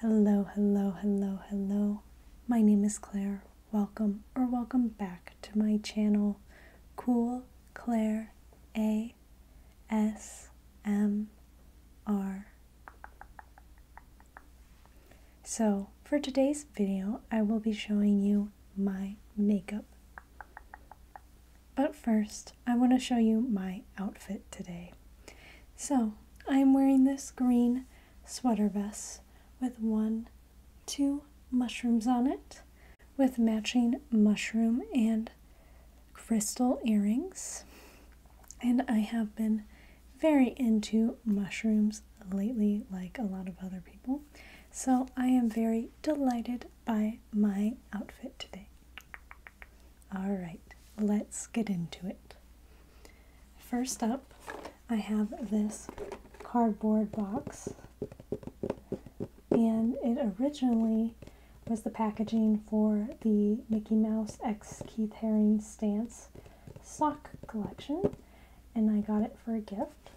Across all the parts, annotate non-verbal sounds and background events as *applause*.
Hello, hello, hello, hello. My name is Claire. Welcome or welcome back to my channel, Cool Claire A S M R. So, for today's video, I will be showing you my makeup. But first, I want to show you my outfit today. So, I'm wearing this green sweater vest with one, two mushrooms on it with matching mushroom and crystal earrings. And I have been very into mushrooms lately, like a lot of other people. So I am very delighted by my outfit today. All right, let's get into it. First up, I have this cardboard box, and it originally was the packaging for the Mickey Mouse X Keith Haring Stance sock collection, and I got it for a gift.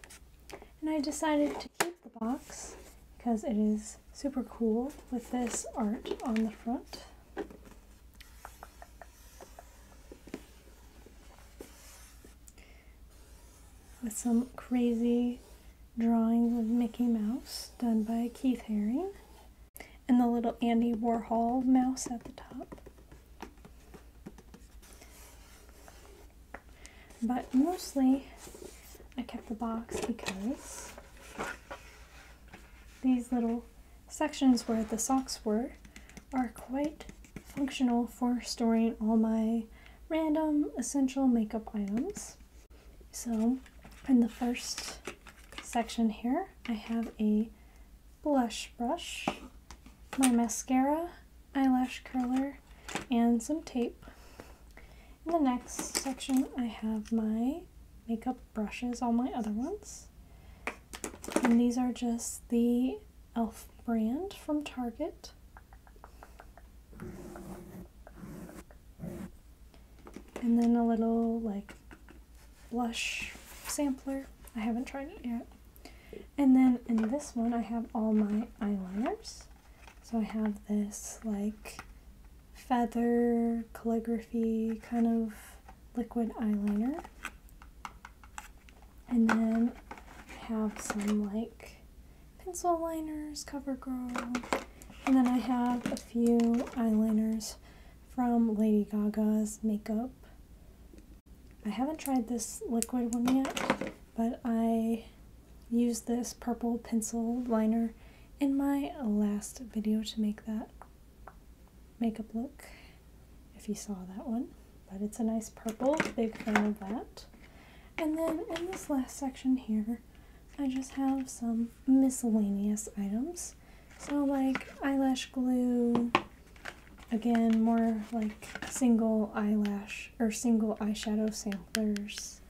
And I decided to keep the box because it is super cool with this art on the front with some crazy drawings of Mickey Mouse done by Keith Haring and the little Andy Warhol mouse at the top. But mostly I kept the box because these little sections where the socks were are quite functional for storing all my random essential makeup items. So in the first section here, I have a blush brush, my mascara, eyelash curler, and some tape. In the next section, I have my makeup brushes, all my other ones. And these are just the e.l.f. brand from Target. And then a little like blush sampler. I haven't tried it yet. And then in this one, I have all my eyeliners. So I have this like feather calligraphy kind of liquid eyeliner. And then I have some like pencil liners, CoverGirl. And then I have a few eyeliners from Lady Gaga's makeup. I haven't tried this liquid one yet, but I use this purple pencil liner in my last video to make that makeup look, if you saw that one. But it's a nice purple, big fan of that. And then in this last section here, I just have some miscellaneous items. So like eyelash glue, again more like single eyelash or single eyeshadow samplers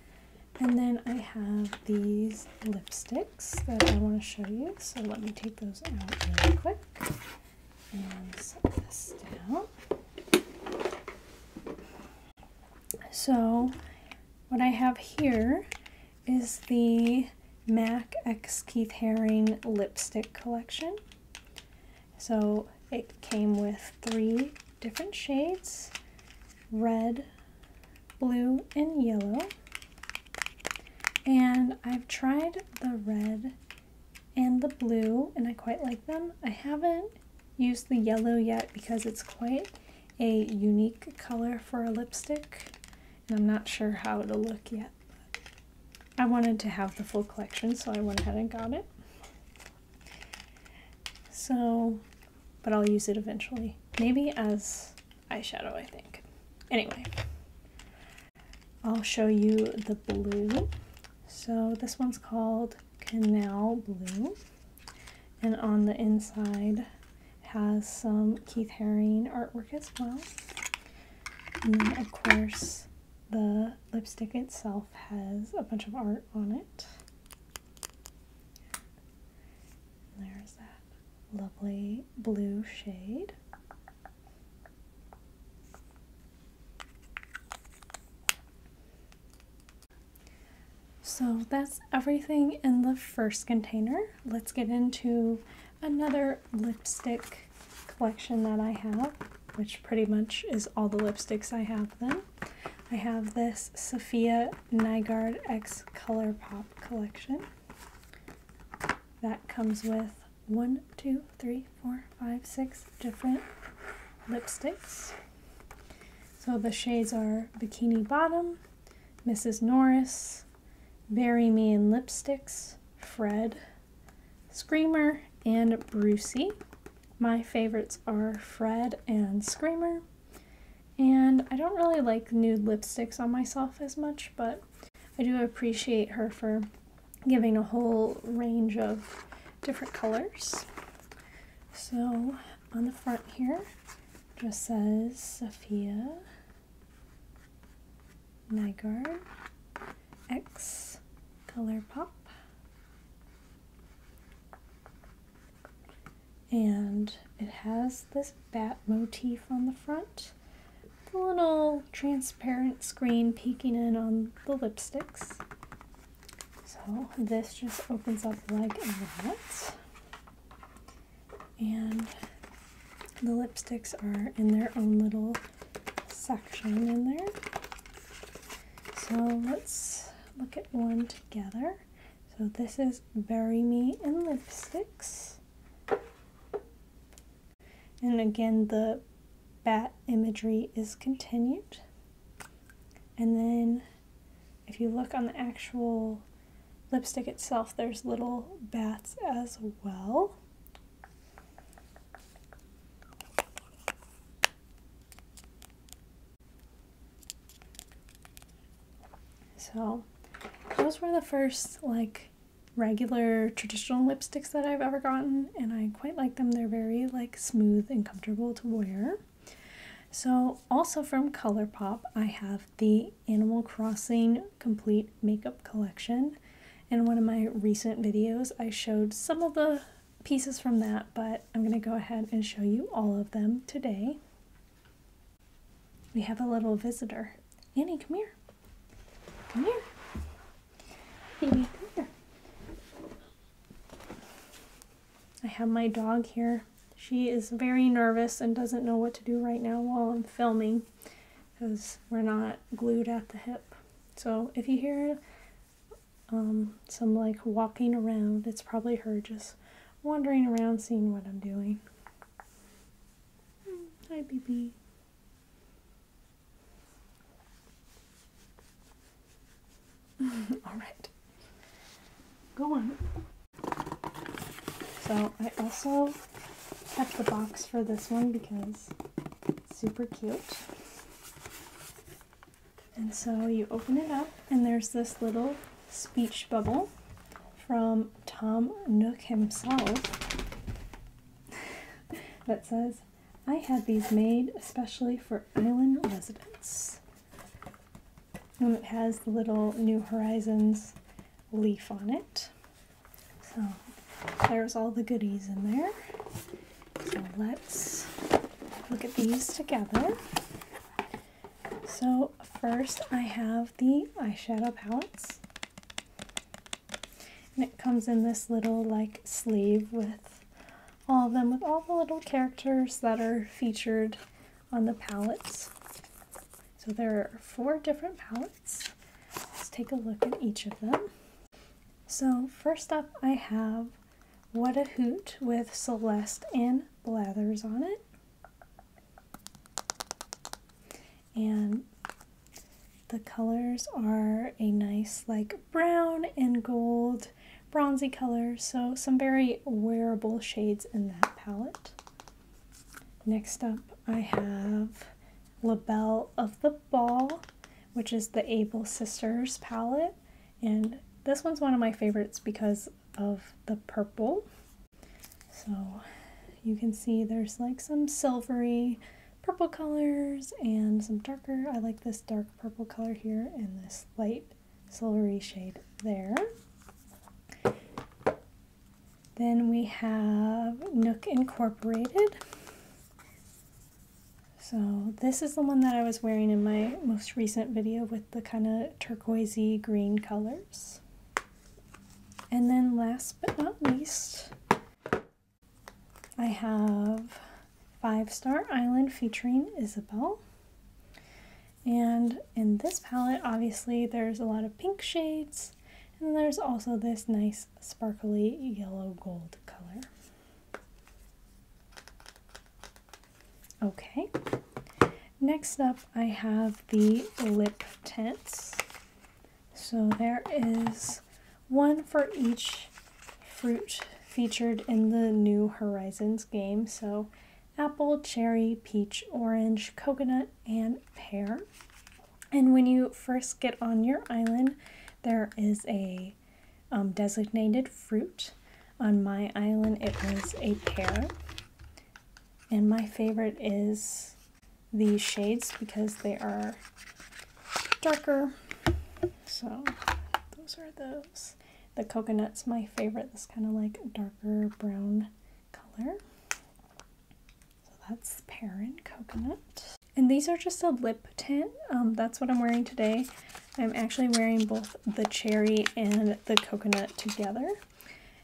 and then I have these lipsticks that I want to show you. So let me take those out really quick and set this down. So what I have here is the MAC X Keith Haring lipstick collection. So it came with three different shades, red, blue, and yellow. And I've tried the red and the blue, and I quite like them. I haven't used the yellow yet because it's quite a unique color for a lipstick. And I'm not sure how it'll look yet. I wanted to have the full collection, so I went ahead and got it. So, but I'll use it eventually. Maybe as eyeshadow, I think. Anyway, I'll show you the blue. So this one's called Canal Blue. And on the inside has some Keith Haring artwork as well. And then of course the lipstick itself has a bunch of art on it there's that lovely blue shade. So that's everything in the first container. Let's get into another lipstick collection that I have, which pretty much is all the lipsticks I have then. I have this Sophia Nigard X Color Pop collection. That comes with one, two, three, four, five, six different lipsticks. So the shades are Bikini Bottom, Mrs. Norris, Bury Me in Lipsticks, Fred, Screamer, and Brucey. My favorites are Fred and Screamer. And I don't really like nude lipsticks on myself as much, but I do appreciate her for giving a whole range of different colors. So on the front here just says Sophia Nygaard X Color Pop. And it has this bat motif on the front, the little transparent screen peeking in on the lipsticks. So this just opens up like that. And the lipsticks are in their own little section in there. So let's look at one together. So this is Bury Me in Lipsticks. And again, the bat imagery is continued. And then if you look on the actual lipstick itself, there's little bats as well. So those were the first like regular traditional lipsticks that I've ever gotten and I quite like them. They're very like smooth and comfortable to wear. So also from ColourPop I have the Animal Crossing Complete Makeup Collection. In one of my recent videos I showed some of the pieces from that, but I'm going to go ahead and show you all of them today. We have a little visitor. Annie, come here. Come here. Baby, come here. I have my dog here. She is very nervous and doesn't know what to do right now while I'm filming because we're not glued at the hip. So if you hear um, some like walking around. It's probably her just wandering around seeing what I'm doing. Hmm, hi, baby. *laughs* All right. Go on. So I also kept the box for this one because super cute. And so you open it up, and there's this little speech bubble from Tom Nook himself *laughs* that says, I had these made especially for island residents. And it has the little New Horizons leaf on it. So there's all the goodies in there. So let's look at these together. So first I have the eyeshadow palettes. And it comes in this little like sleeve with all of them with all the little characters that are featured on the palettes. So there are four different palettes. Let's take a look at each of them. So first up I have what a Hoot with Celeste and Blathers on it. And the colors are a nice like brown and gold bronzy colors. so some very wearable shades in that palette. Next up, I have La Belle of the Ball, which is the Able Sisters palette. And this one's one of my favorites because of the purple. So you can see there's like some silvery purple colors and some darker. I like this dark purple color here and this light silvery shade there. Then we have Nook Incorporated. So this is the one that I was wearing in my most recent video with the kind of turquoisey green colors. And then last but not least, I have Five Star Island featuring Isabel. And in this palette, obviously, there's a lot of pink shades, and there's also this nice sparkly yellow gold color. Okay. Next up, I have the lip tints. So there is one for each fruit featured in the New Horizons game. So apple, cherry, peach, orange, coconut, and pear. And when you first get on your island, there is a um, designated fruit. On my island, it was a pear. And my favorite is the shades because they are darker. So those are those. The coconut's my favorite, this kind of like darker brown color. So that's pear and coconut. And these are just a lip tint. Um, that's what I'm wearing today. I'm actually wearing both the cherry and the coconut together.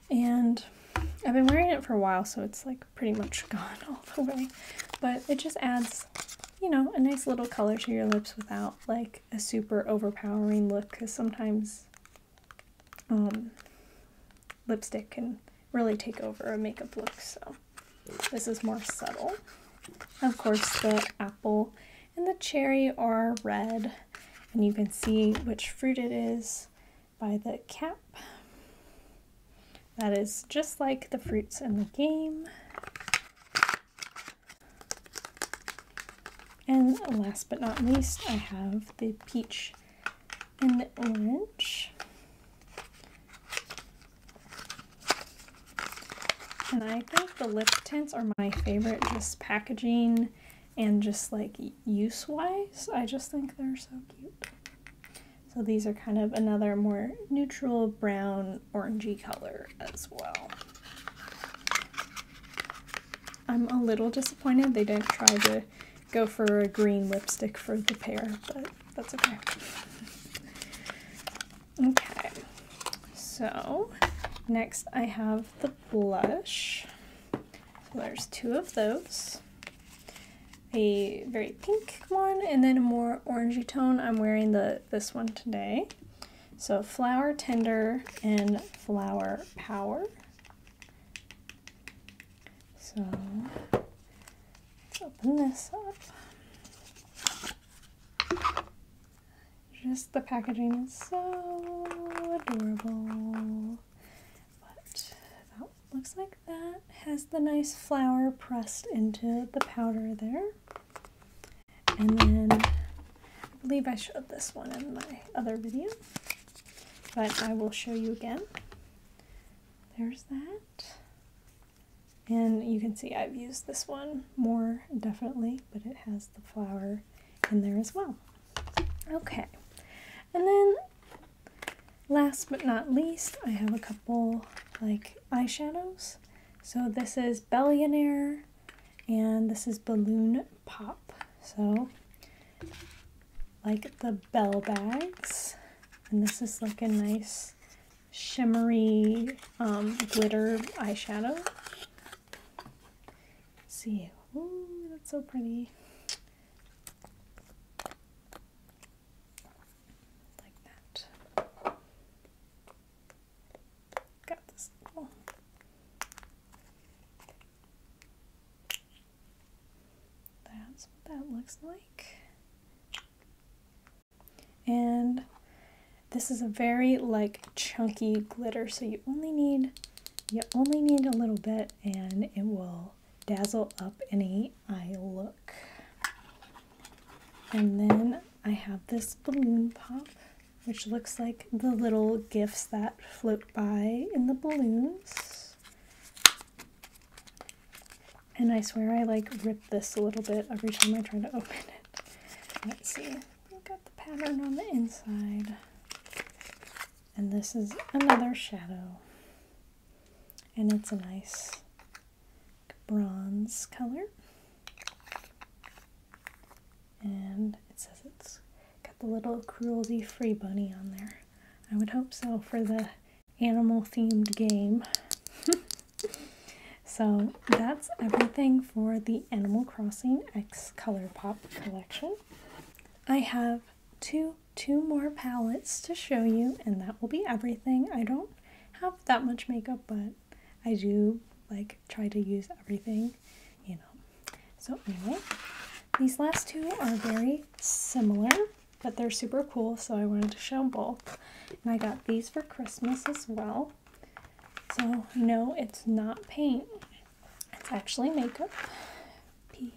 And I've been wearing it for a while, so it's like pretty much *laughs* gone all the way. But it just adds, you know, a nice little color to your lips without like a super overpowering look. Because sometimes um, lipstick can really take over a makeup look. So this is more subtle. Of course, the apple and the cherry are red, and you can see which fruit it is by the cap. That is just like the fruits in the game. And last but not least, I have the peach and the orange. And I think the lip tints are my favorite, just packaging and just like use wise. I just think they're so cute. So these are kind of another more neutral brown orangey color as well. I'm a little disappointed they didn't try to go for a green lipstick for the pair, but that's okay. Okay, so next I have the blush. So there's two of those. A very pink one and then a more orangey tone. I'm wearing the this one today. So Flower Tender and Flower Power. So Let's open this up. Just the packaging is so adorable. But that looks like that. Has the nice flower pressed into the powder there. And then I believe I showed this one in my other video, but I will show you again there's that. And you can see I've used this one more definitely, but it has the flower in there as well. Okay, and then last but not least, I have a couple like eyeshadows. So this is Billionaire and this is Balloon Pop. So like the bell bags, and this is like a nice shimmery um, glitter eyeshadow. see, ooh, that's so pretty. Like that. Got this that's what that looks like. And this is a very like chunky glitter, so you only need you only need a little bit and it will dazzle up any eye look. And then I have this balloon pop, which looks like the little gifts that float by in the balloons. And I swear I like rip this a little bit every time I try to open it. Let's see. We've got the pattern on the inside. And this is another shadow. And it's a nice bronze color. And it says it's got the little cruelty-free bunny on there. I would hope so for the animal themed game. *laughs* so that's everything for the Animal Crossing X Color Pop collection. I have two two more palettes to show you and that will be everything. I don't have that much makeup but I do like try to use everything, you know. So anyway, these last two are very similar but they're super cool, so I wanted to show them both. And I got these for Christmas as well. So, no, it's not paint. It's actually makeup. P-A-I-N-T.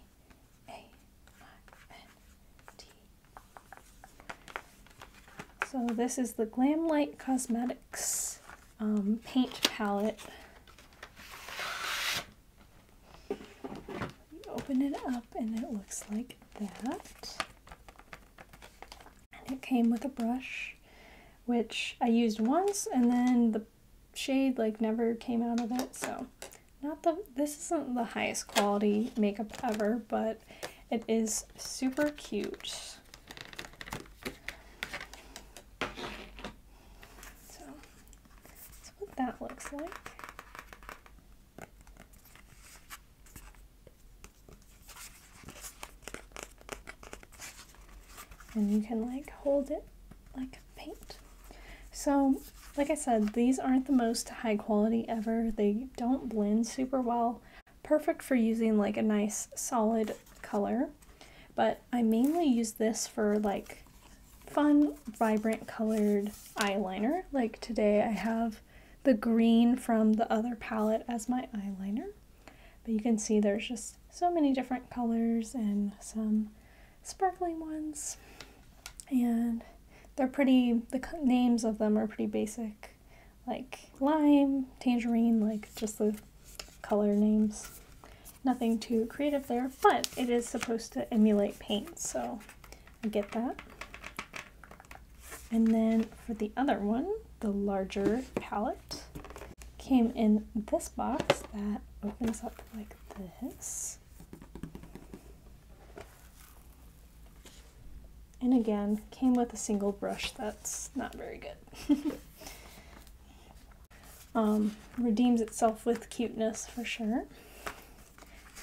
So, this is the Glam Light Cosmetics um, paint palette. You open it up and it looks like that. And it came with a brush, which I used once and then the shade like never came out of it, so not the this isn't the highest quality makeup ever, but it is super cute. That's what that looks like. And you can like hold it like paint. So, like I said, these aren't the most high quality ever. They don't blend super well. Perfect for using like a nice solid color. But I mainly use this for like fun, vibrant colored eyeliner. Like today I have the green from the other palette as my eyeliner. But you can see there's just so many different colors and some sparkling ones. And they're pretty, the names of them are pretty basic. Like lime, tangerine, like just the color names nothing too creative there, but it is supposed to emulate paint, so I get that. And then for the other one, the larger palette, came in this box that opens up like this. And again, came with a single brush that's not very good. *laughs* Um, redeems itself with cuteness for sure.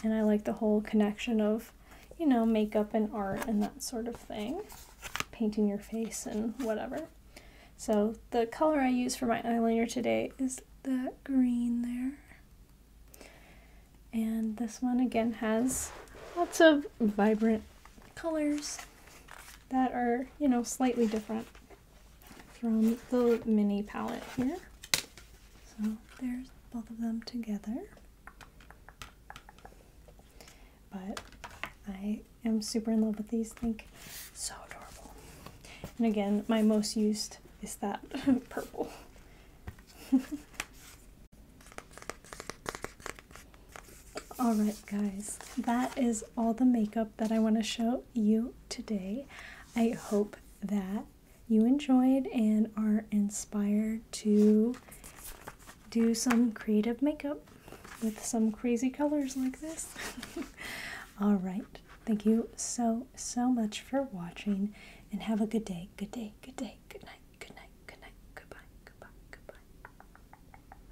And I like the whole connection of, you know, makeup and art and that sort of thing, painting your face and whatever. So the color I use for my eyeliner today is that green there. And this one again has lots of vibrant colors that are, you know, slightly different from the mini palette here. So there's both of them together. But I am super in love with these. I think so adorable. And again, my most used is that *laughs* purple. *laughs* Alright guys, that is all the makeup that I want to show you today. I hope that you enjoyed and are inspired to do some creative makeup with some crazy colors like this. *laughs* All right. Thank you so, so much for watching and have a good day. Good day. Good day. Good night. Good night. Good night. Goodbye. Goodbye. Goodbye.